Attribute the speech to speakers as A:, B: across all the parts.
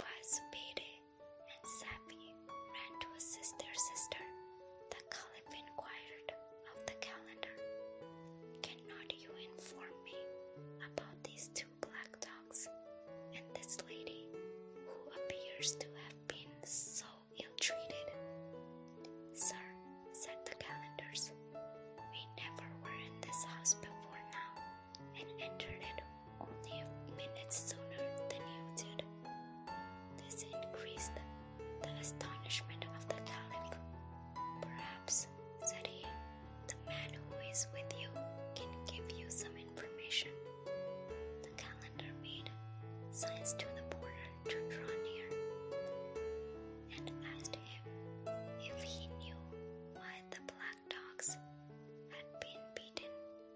A: While Zubeyde and Safi ran to assist their sister, the Caliph inquired of the calendar, Cannot you inform me about these two? black dogs, and this lady, who appears to have been so ill treated. Sir, said the Calenders, we never were in this house before now, and entered it only a minute sooner than you did. This increased the astonishment of the caliph. Perhaps, said he, the man who is with you can give you some information. The calendar made signs to the porter to draw near and asked him if he knew why the black dogs had been beaten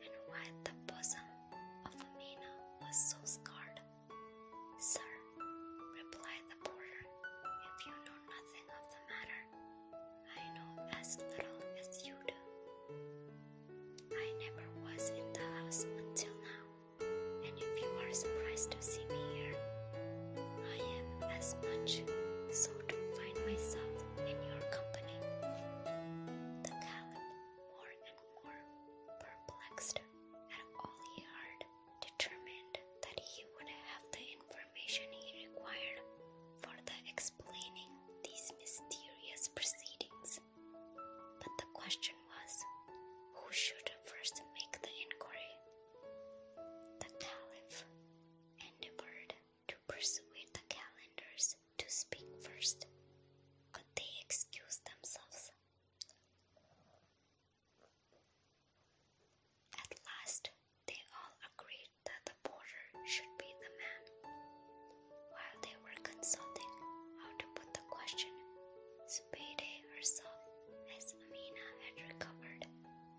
A: and why the bosom of Amina was so scarred. Sir, replied the porter, if you know nothing of the matter, I know as little as you do. I never was in the house until now, and if you are surprised to see me here, I am as much so to find myself in your company. The Caliph, more and more perplexed at all he heard, determined that he would have the information he required for the explaining these mysterious proceedings. But the question was, who should first make the inquiry? The caliph endeavored to persuade the calendars to speak first. but they excused themselves? At last, they all agreed that the porter should be the man. While they were consulting how to put the question, Zubeide herself, as Amina had recovered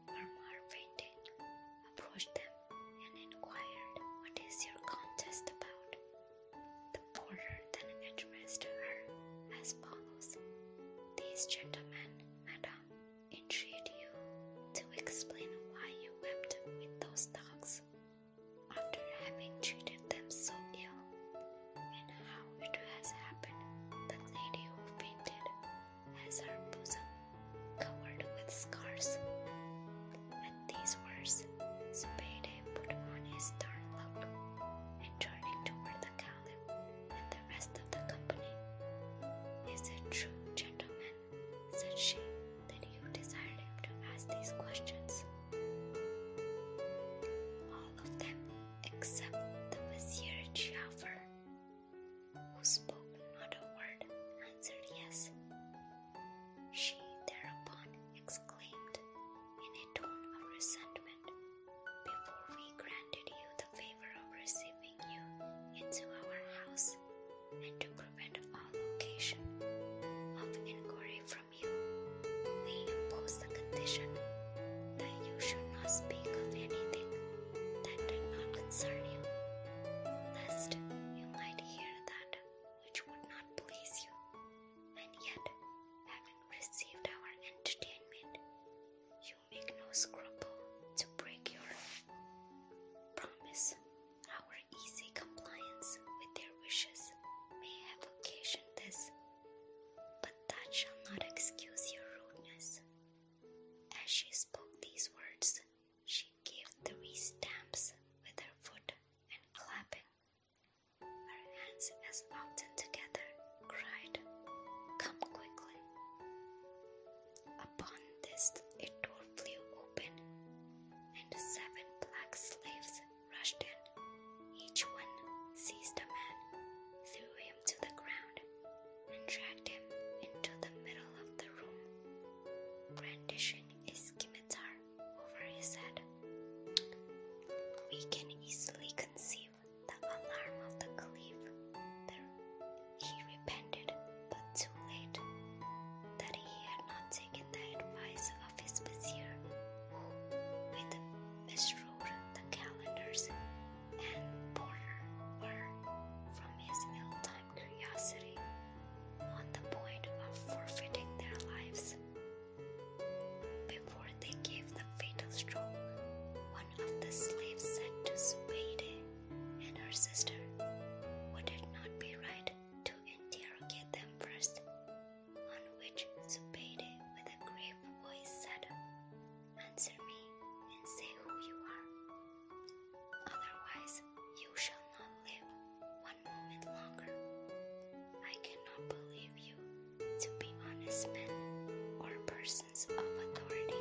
A: from her fainting, approached them and inquired, What is your contest about? The porter then addressed her as follows These gentlemen, madam, entreat you to explain why you wept with those dogs after having treated them so ill, and how it has happened that lady who fainted has her bosom covered with scars. At these words, Spade put on his stern look, and turning toward the count and the rest of the company. Is it true, gentlemen, said she, that you desired him to ask these questions? All of them except the Vizier Giafar, who spoke not a word, answered yes. She thereupon exclaimed in a tone of resentment before we granted you the favor of receiving you into our house, and to prevent all location of inquiry from you, we imposed the condition that you should not speak of anything that did not concern you, lest you might hear that which would not please you, and yet, having received our entertainment, make no scruple to break your promise. Our easy compliance with their wishes may have occasioned this, but that shall not excuse your rudeness. As she spoke these words, she gave three stamps with her foot and clapping her hands as often together cried, Come quickly. Upon this, a door flew open, and seven black slaves rushed in. Each one seized a man, threw him to the ground, and dragged him into the middle of the room, brandishing a scimitar over his head. We can easily conceive the alarm of the caliph. He repented, but too late, that he had not taken the advice of his vizier, who, with misrule the calendars and border were, from his ill-timed curiosity, on the point of forfeiting their lives. Before they gave the fatal stroke, one of the slaves said to Subeide and her sister, Would it not be right to interrogate them first? On which Subeide, with a grave voice, said, Answer me and say who you are. Otherwise, you shall not live one moment longer. I cannot believe you, to be honest men or persons of authority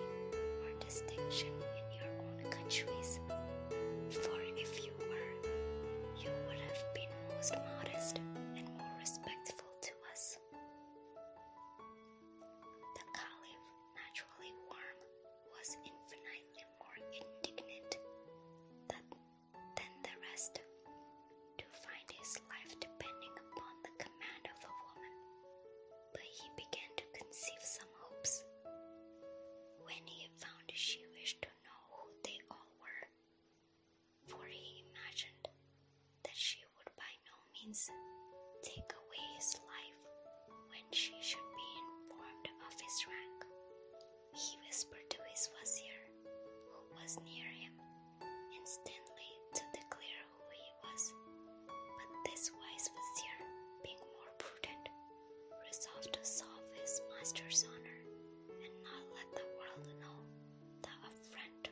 A: or distinction in your own countries. For if you were, you would have been most modest and more respectful to us. The Caliph, naturally warm, was infinitely more indignant that than the rest, to find his life depending upon the command of a woman. But he began to conceive some hopes. When he found she wished to know who they all were, for he imagined that she would by no means take away his life when she should be informed of his rank he whispered to his wazir, who was near him, instantly to declare who he was. But this wise wazir, being more prudent, resolved to solve his master's honor and not let the world know the affront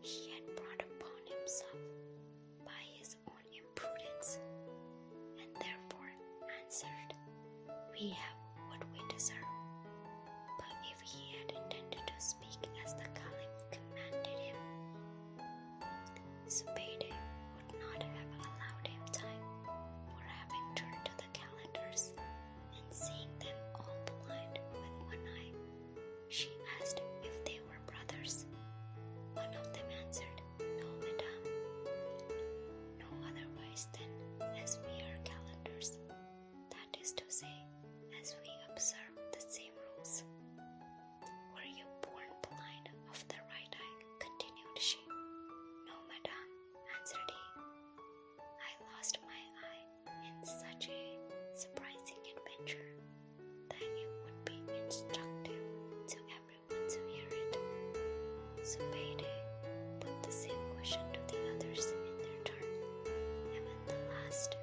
A: he had brought upon himself by his own imprudence, and therefore answered. We have what we deserve. But if he had intended to speak as the caliph commanded him, Zubaydah would not have allowed him time, for having turned to the calendars and seeing them all blind with one eye, she asked if they were brothers. One of them answered, No, madam." no otherwise than as we are calendars, that is to say, as we observe the same rules. Were you born blind of the right eye? continued she. No, madame, answered he. I lost my eye in such a surprising adventure that it would be instructive to everyone to hear it. So Payday put the same question to the others in their turn, and when the last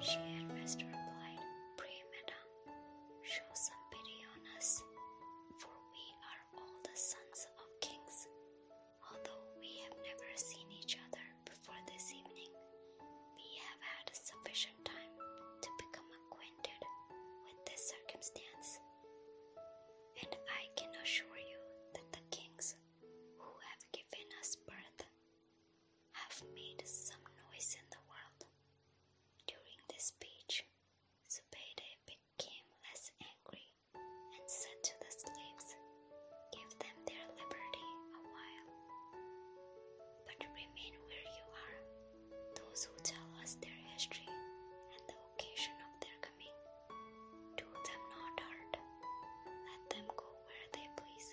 A: she had rest replied, Pray, madam, show some pity on us, for we are all the sons of kings, although we have never seen each other before this evening. We have had sufficient time to become acquainted with this circumstance and I can assure you that the kings who have given us birth have made some noise in the world. During this speech, Zubaydah became less angry and said to the slaves, Give them their liberty a while, but remain where you are those who tell us their history and the occasion of their coming. Do them not hurt. Let them go where they please,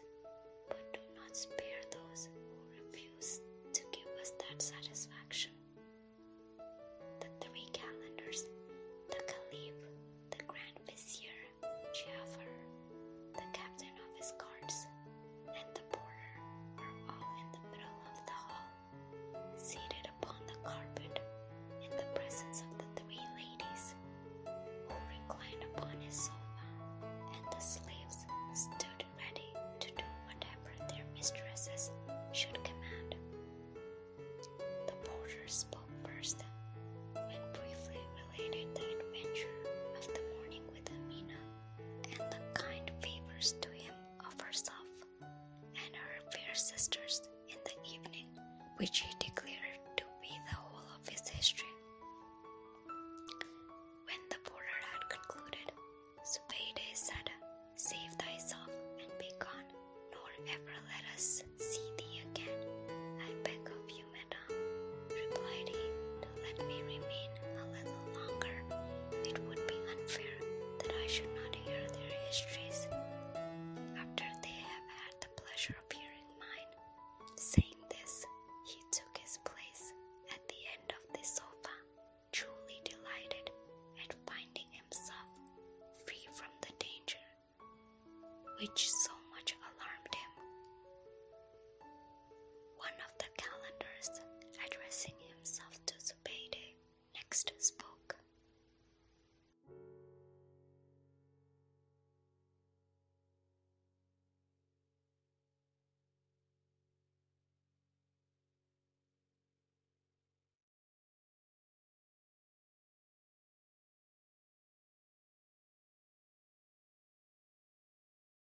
A: but do not spare those who refuse to give us that satisfaction. The three calendars, the caliph, the grand vizier, Jafar, the captain of his guards, and the porter, are all in the middle of the hall seated upon the carpet in the presence of the three ladies who reclined upon his sofa, and the slaves stood ready to do whatever their mistresses should command. The porter spoke first and briefly related the adventure of the morning with Amina and the kind favors to him of herself and her fair sisters in the evening, which he declared to be the whole of his history. When the porter had concluded, Zubeidah said, Save thyself and be gone, nor ever let us see thee again. I beg of you, madam, replied he let me remain a little longer. It would be unfair that I should not hear their histories after they have had the pleasure of hearing mine. Saying this, he took his place at the end of the sofa, truly delighted at finding himself free from the danger which so much alarmed him. One of the calendars, addressing himself to Zubaydah, next spoke.